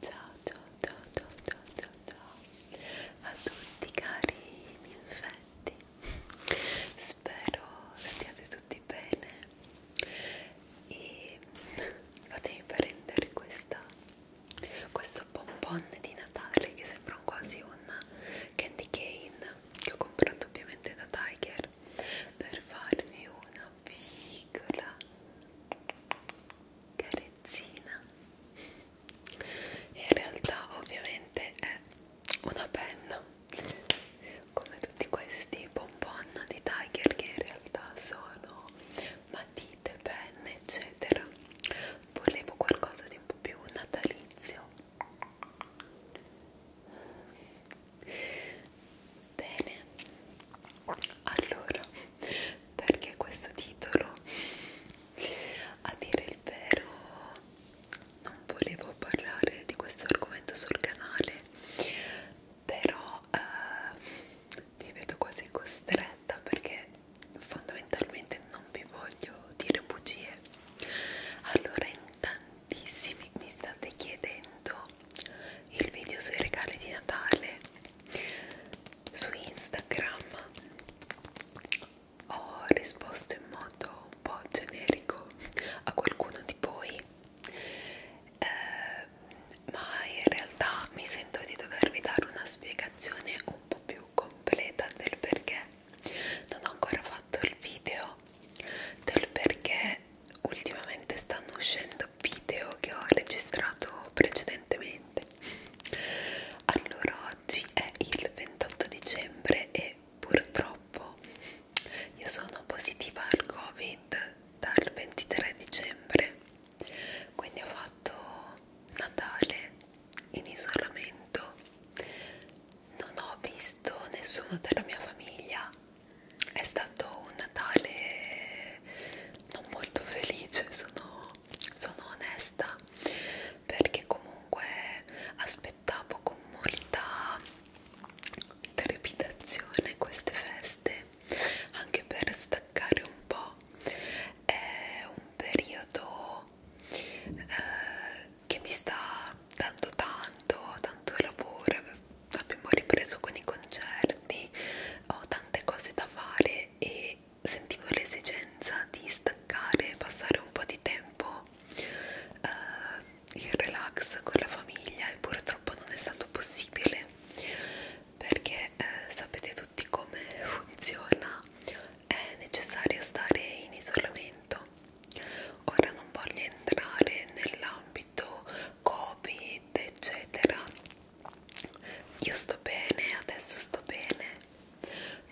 Ciao ciao ciao ciao ciao ciao ciao a tutti cari miei infetti Spero stiate tutti bene e fatemi prendere questa, questo bonbon di Natale che sembra quasi un candy cane che ho comprato ovviamente da Tiger per farvi una piccola carezzina in realtà ovviamente è una penna come tutti questi bonbon di Tiger che in realtà sono matite, penne eccetera volevo qualcosa di un po' più natalizio Bene, allora, perché questo titolo? A dire il vero, non volevo parlare di questo argomento sul canale, però eh, mi vedo quasi costretta perché fondamentalmente non vi voglio dire bugie. Allora, in tantissimi mi state chiedendo il video sui regali di Natale su Instagram ho risposto in modo un po' generico a qualcuno di voi eh, ma in realtà mi sento di dovervi dare una spiegazione un po' più completa del perché non ho ancora fatto il video del perché ultimamente stanno uscendo video che ho registrato precedentemente allora oggi è il 28 dicembre e purtroppo io sono positiva al covid dal 23 dicembre quindi ho fatto Natale in isolamento non ho visto nessuno della mia famiglia è stato un Natale non molto felice, sono, sono onesta, perché comunque aspettavo con molta trepidazione queste feste, anche per staccare un po'. È un periodo eh, che mi sta dando tanto, tanto lavoro, abbiamo ripreso con i concerti, ho tante cose da fare e sentivo l'esigenza di staccare, passare un po' di tempo eh, in relax con la famiglia e purtroppo non è stato possibile perché eh, sapete tutti come funziona, è necessario stare in isolamento. Ora non voglio entrare nell'ambito Covid eccetera io sto bene, adesso sto bene,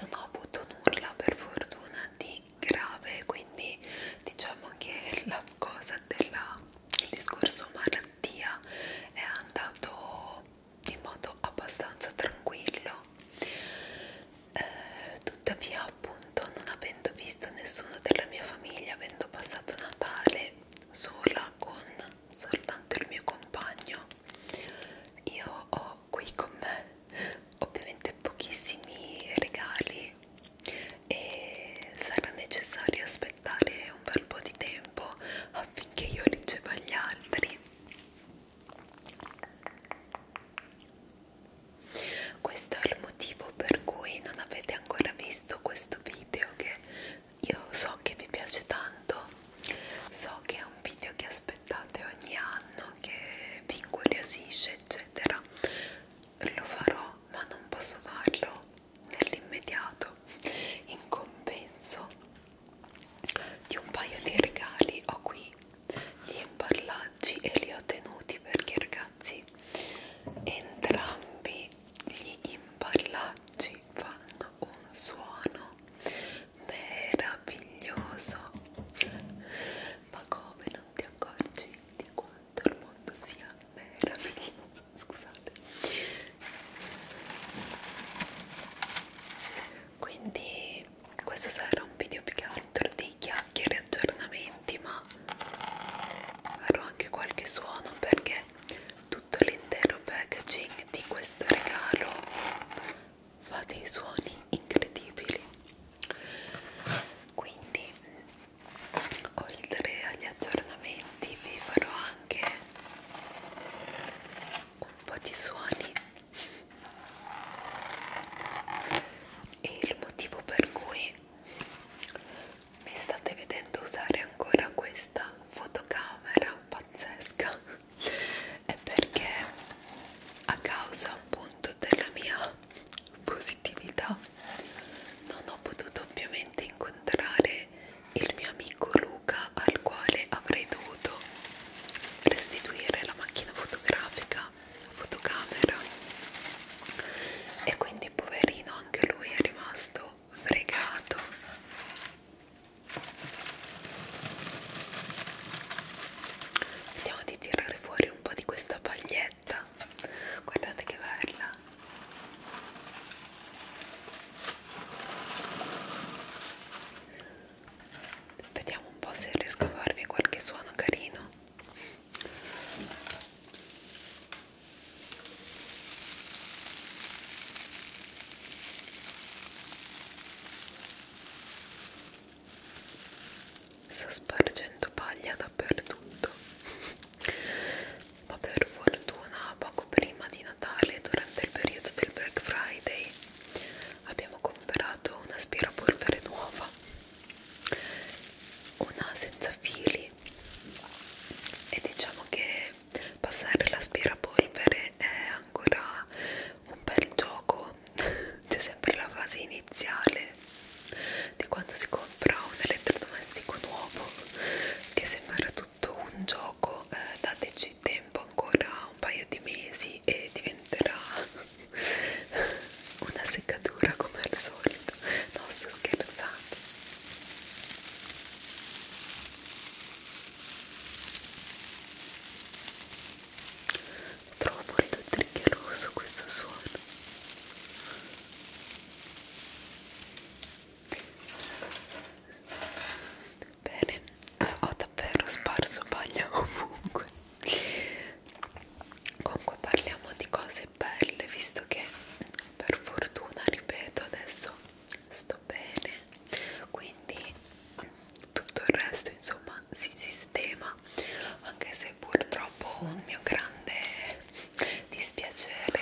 non ho avuto nulla per fortuna di grave, quindi diciamo che la cosa della, il discorso malattia è andato in modo abbastanza tranquillo, eh, tuttavia appunto non avendo visto nessuno della mia famiglia, avendo passato Natale sola con soltanto il mio compagno io ho qui con me ovviamente pochissimi regali e sarà necessario aspettare un bel po' di tempo affinché io riceva gli altri questo è il motivo per cui non avete ancora visto questo video che io so che vi piace tanto so che è un video che aspettate ogni anno che vi incuriosisce eccetera lo farò ma non posso farlo nell'immediato in compenso di un paio di regali ho qui gli imballaggi e li ho tenuti perché ragazzi ragazzi entrambi gli imparlacci fanno un suono meraviglioso ma come non ti accorgi di quanto il mondo sia meraviglioso scusate quindi questo sarà un video più che altro di chiacchiere e aggiornamenti ma farò anche qualche suono perché tutto l'intero packaging di questo regalo fa dei suoni incredibili quindi oltre agli aggiornamenti vi farò anche un po' di suoni e il motivo per cui mi state vedendo usare ancora questa fotocamera pazzesca è perché a causa appunto della mia positività non ho potuto ovviamente incontrare il mio amico Luca al quale avrei dovuto restituire la macchina fotografica la fotocamera e quindi poverino anche lui è rimasto fregato vediamo di tirare fuori un po' di questa paglietta guardate che bella vediamo un po' se riesco a farvi qualche suono carino Sto spargendo paglia dappertutto. Ma per fortuna, poco prima di Natale, durante il periodo del Black Friday, abbiamo comprato un'aspirapolvere nuova, una senza fili e diciamo che passare l'aspirapolvere è ancora un bel gioco c'è sempre la fase iniziale di quando si compra un elettrodomestico nuovo che sembra tutto un gioco eh, dateci tempo ancora un paio di mesi e diventerà una seccatura come al solito scherzando non sto scherzando trovo molto triggeroso questo suono bene ho davvero sparso paglia ovunque comunque parliamo di cose cose belle visto che per fortuna ripeto adesso sto bene quindi tutto il resto insomma si sistema anche se purtroppo un mio grande dispiacere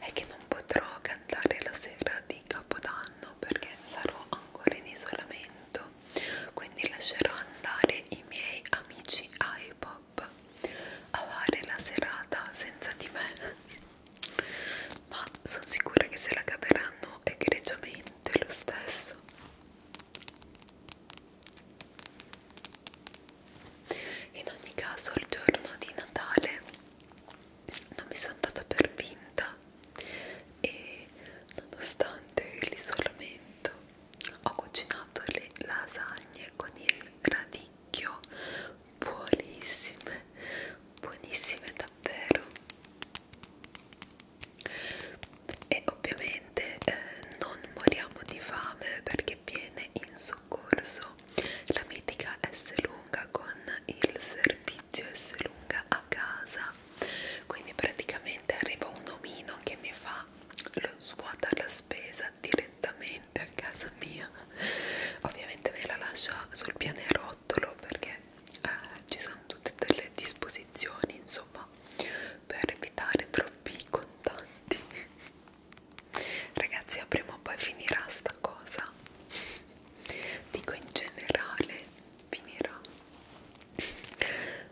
è che non potrò cantare la sera di capodanno perché sarò ancora in isolamento quindi lascerò andare i miei amici iPod up a fare la serata senza di me ma sono sicura che se la caveranno egregiamente lo stesso in ogni caso il giorno di Natale non mi sono andata per vinta e nonostante l'isolamento ho cucinato le lasagne con il radicchio buonissime buonissime davvero e ovviamente eh, non moriamo di fame perché viene in soccorso la mitica S lunga con il servizio S lunga a casa quindi praticamente arriva un omino che mi fa lo svuota la spesa casa direttamente a casa mia ovviamente ve la lascio sul pianerottolo perché eh, ci sono tutte delle disposizioni insomma per evitare troppi contanti ragazzi prima o poi finirà sta cosa dico in generale finirà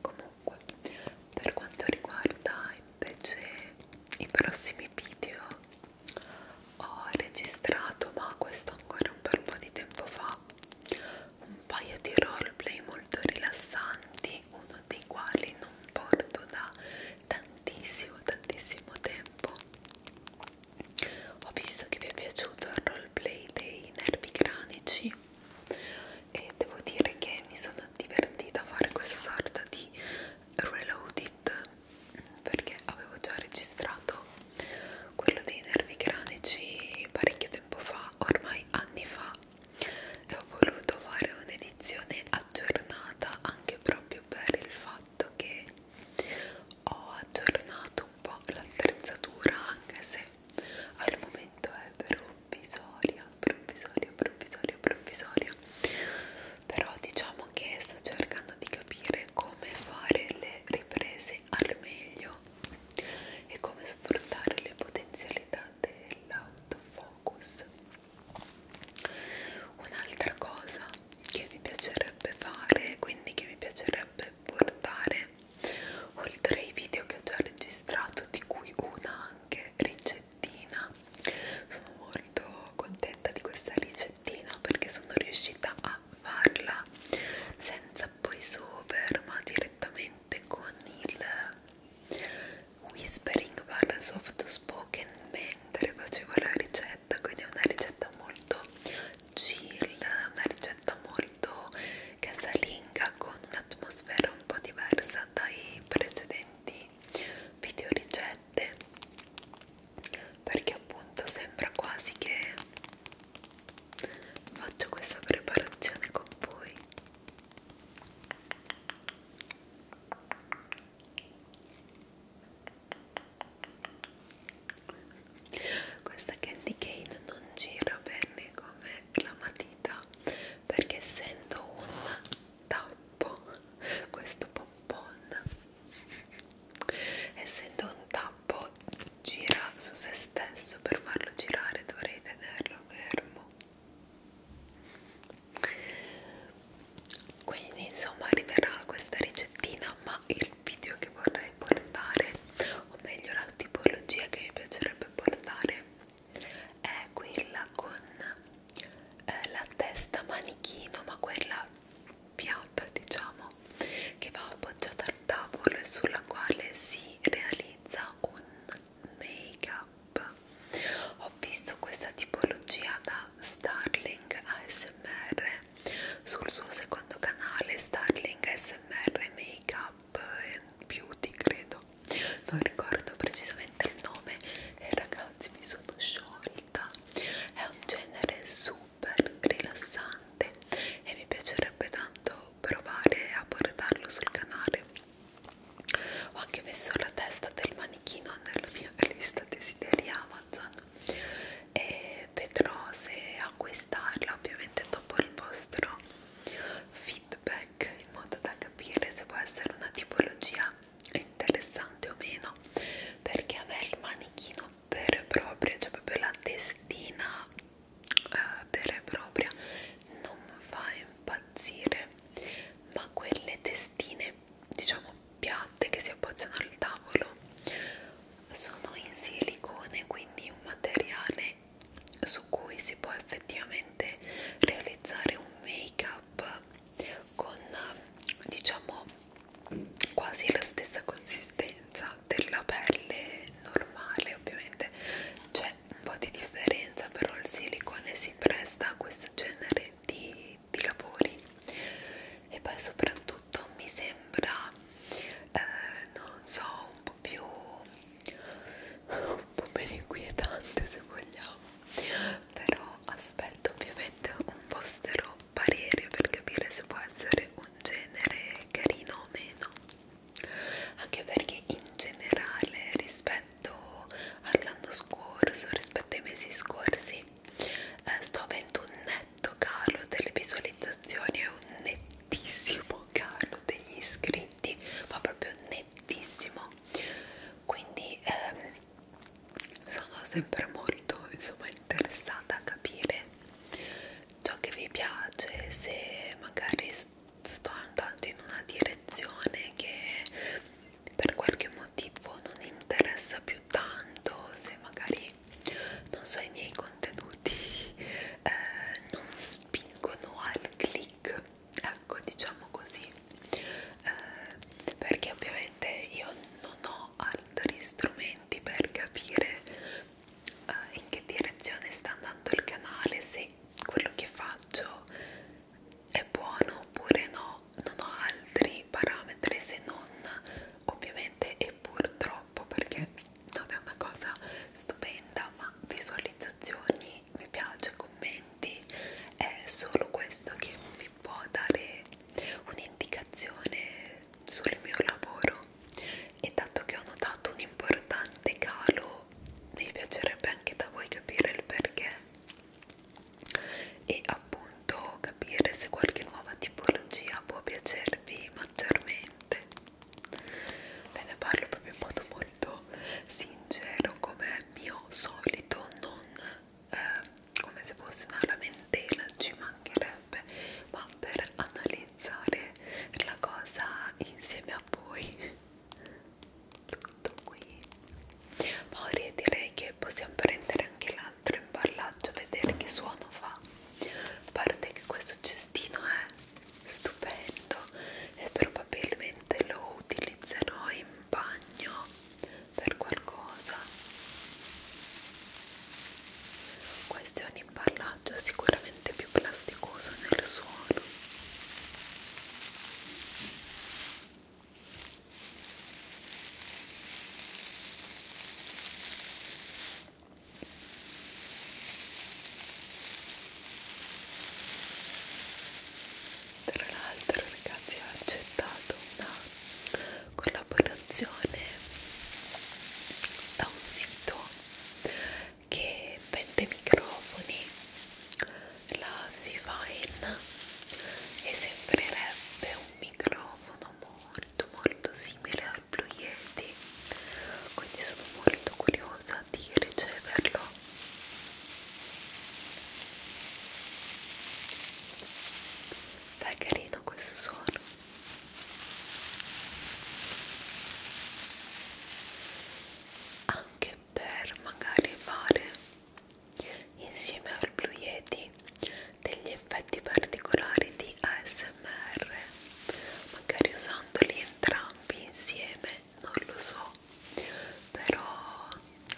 comunque per quanto riguarda i invece i prossimi video ho registrato ma questo ancora un bel po' di tempo fa un paio di roleplay molto rilassanti uno dei quali non porto da tantissimo tantissimo tempo ho visto che vi è piaciuto il roleplay dei nervi cranici e devo dire che mi sono divertita a fare questa sorta di reloaded perché avevo già registrato quello dei nervi cranici parecchio tempo fa, ormai anni fa e ho voluto fare un'edizione aggiornata anche proprio per il fatto che ho aggiornato un po' l'attrezzatura anche se al momento è per un provvisoria, provvisoria, provvisoria, provvisoria. Però diciamo che sto cercando di capire come fare le riprese al meglio e come sfruttare le potenzialità dell'autofocus. Un'altra cosa che mi piacerebbe fare, quindi che mi piacerebbe portare oltre ai video che ho già registrato, di cui una anche ricetta ricettina sono molto contenta di questa ricettina perché sono riuscita a farla senza voice over ma direttamente con il whispering barra soft spoken mentre facevo la ricetta quindi è una ricetta molto chill una ricetta molto casalinga con un'atmosfera un po' diversa dai precedenti video ricette perché appunto sembra quasi che faccio questa preparazione con voi questa candy cane non gira bene come la matita perché essendo un tappo questo pompon essendo un tappo gira su se stesso per farlo girare dovrei tenerlo fermo quindi insomma arriverà questa ricettina ma il video che vorrei portare o meglio la tipologia che mi piacerebbe portare è quella con eh, la testa manichino ma quella piatta diciamo che va appoggiata al tavolo e sulla quale si realizza un make up ho visto questa tipologia da Starling ASMR sul suo secondo canale Starling ASMR Makeup and Beauty eh, credo non ricordo precisamente il nome e eh, ragazzi mi sono sciolta è un genere super rilassante e mi piacerebbe tanto provare a portarlo sul canale ho anche messo la testa del manichino nella mia lista desideri Amazon e vedrò se acquistarla ovviamente dopo il vostro video feedback in modo da capire se può essere una tipologia interessante o meno perché a me il manichino vero e proprio cioè proprio la testina eh, vera e propria non fa impazzire ma quelle testine diciamo piatte che si appoggiano al tavolo sono in silicone quindi un materiale cose su cui si può effettivamente realizzare un make up con diciamo quasi la stessa consistenza della pelle normale ovviamente c'è un po' di differenza però il silicone si presta a questo genere di, di lavori e poi soprattutto mi sembra eh, non so un po' più un po' meno inquietante se vogliamo però aspetto ovviamente un vostro parere per capire se può essere un genere carino o meno anche perché in generale rispetto all'anno scorso rispetto ai mesi scorsi eh, sto avendo un netto calo delle visualizzazioni e un nettissimo calo degli iscritti ma proprio netto tantissimo quindi ehm, sono sempre molto insomma interessata a capire ciò che vi piace se magari sto andando in una direzione che per qualche motivo non interessa più tanto se magari non so i miei contenuti eh, non spingono al click ecco diciamo così eh, perché ovviamente io non ho altri strumenti per capire eh, in che direzione sta andando il canale se quello che faccio è buono oppure no non ho altri parametri se non ovviamente e purtroppo perché non è una cosa stupenda ma visualizzazioni mi piace commenti è solo questo che vi può dare un'indicazione sul mio lavoro e dato che ho notato un importante calo mi piacerebbe anche da voi capire il perché e appunto capire se qualche nuova tipologia può piacervi maggiormente ve ne parlo proprio in modo molto sincero come mio solito non eh, come se fosse una lamentela ci mancherebbe ma per analizzare la cosa insieme a voi tutto qui poi direi che possiamo prendere anche l'altro imballaggio vedere che suono fa a parte che questo cestino è stupendo e probabilmente lo utilizzerò in bagno per qualcosa questo è un imballaggio sicuramente più plasticoso nel suolo tra l'altro ragazzi ho accettato una collaborazione da un sito che vende microfoni, la Vivine e sembrerebbe un microfono molto molto simile al Blue Yeti quindi sono molto curiosa gioiosa di riceverlo. È carino questo suono. Anche per magari fare insieme al Blue Yeti degli effetti particolari di ASMR ASMR magari usandoli entrambi insieme non lo so però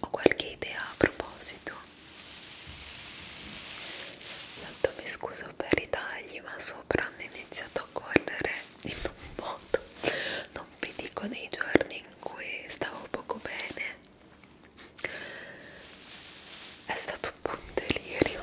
ho qualche idea a proposito tanto mi scuso per i tagli ma sopra hanno iniziato a correre in un modo non vi dico nei giorni in cui stavo poco bene è stato un po' un delirio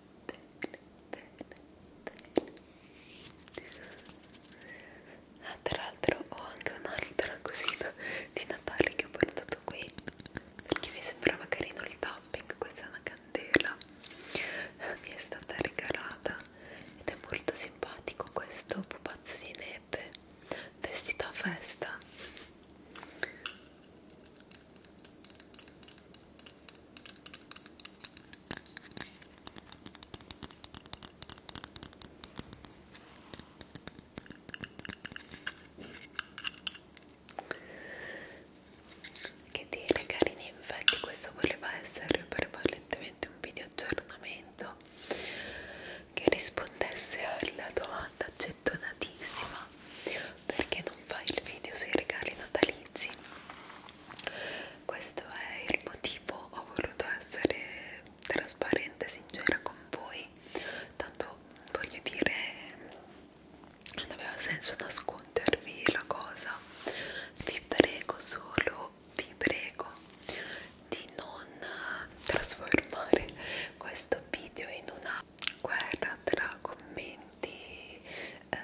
bene, bene, bene. Ah, tra l'altro ho anche un'altra cosina di Natale che ho portato qui perché mi sembrava carino il tapping, questa è una candela mi è stata regalata ed è molto simpatico questo pupazzo di neve vestito a festa che dire carini, infatti questo voleva essere prevalentemente un video aggiornamento che rispondesse alla domanda gettonatissima fa perché non fa il video sui regali natalizi questo è il motivo ho voluto essere trasparente e sincera con voi tanto voglio dire non aveva senso nascondervi la cosa vi prego solo vi prego di non trasformare questo video in una guerra tra commenti eh,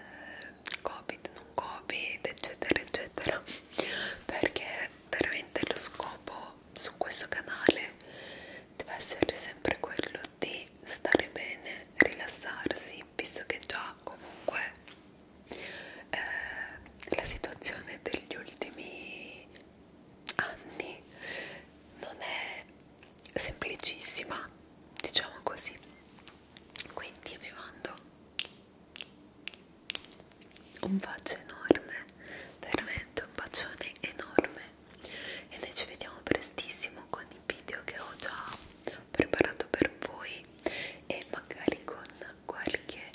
covid non covid eccetera eccetera perché veramente lo scopo su questo canale deve essere sempre quello di stare bene rilassarsi visto che già comunque eh, la situazione degli ultimi anni non è semplicissima diciamo così quindi vi mando un bacio enorme veramente un bacione enorme e noi ci vediamo prestissimo con i video che ho già preparato per voi e magari con qualche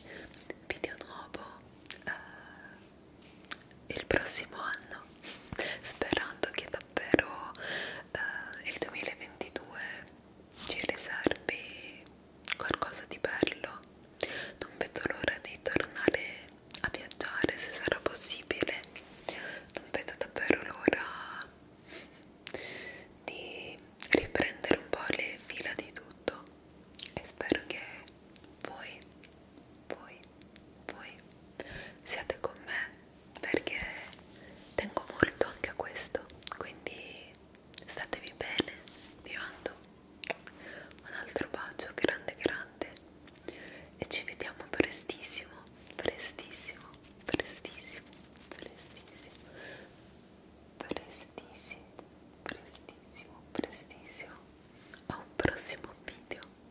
video nuovo eh, il prossimo anno sperando che da ovvero eh, il 2022 ci riservi qualcosa di bello non vedo l'ora di tornare a viaggiare se sarà possibile non vedo davvero l'ora di riprendere un po' le fila di tutto e spero che voi voi voi siate con me perché tengo molto anche a questo quindi statevi bene vi mando un altro bacio grande grande e ci vediamo prestissimo prestissimo prestissimo prestissimo prestissimo prestissimo prestissimo a un prossimo video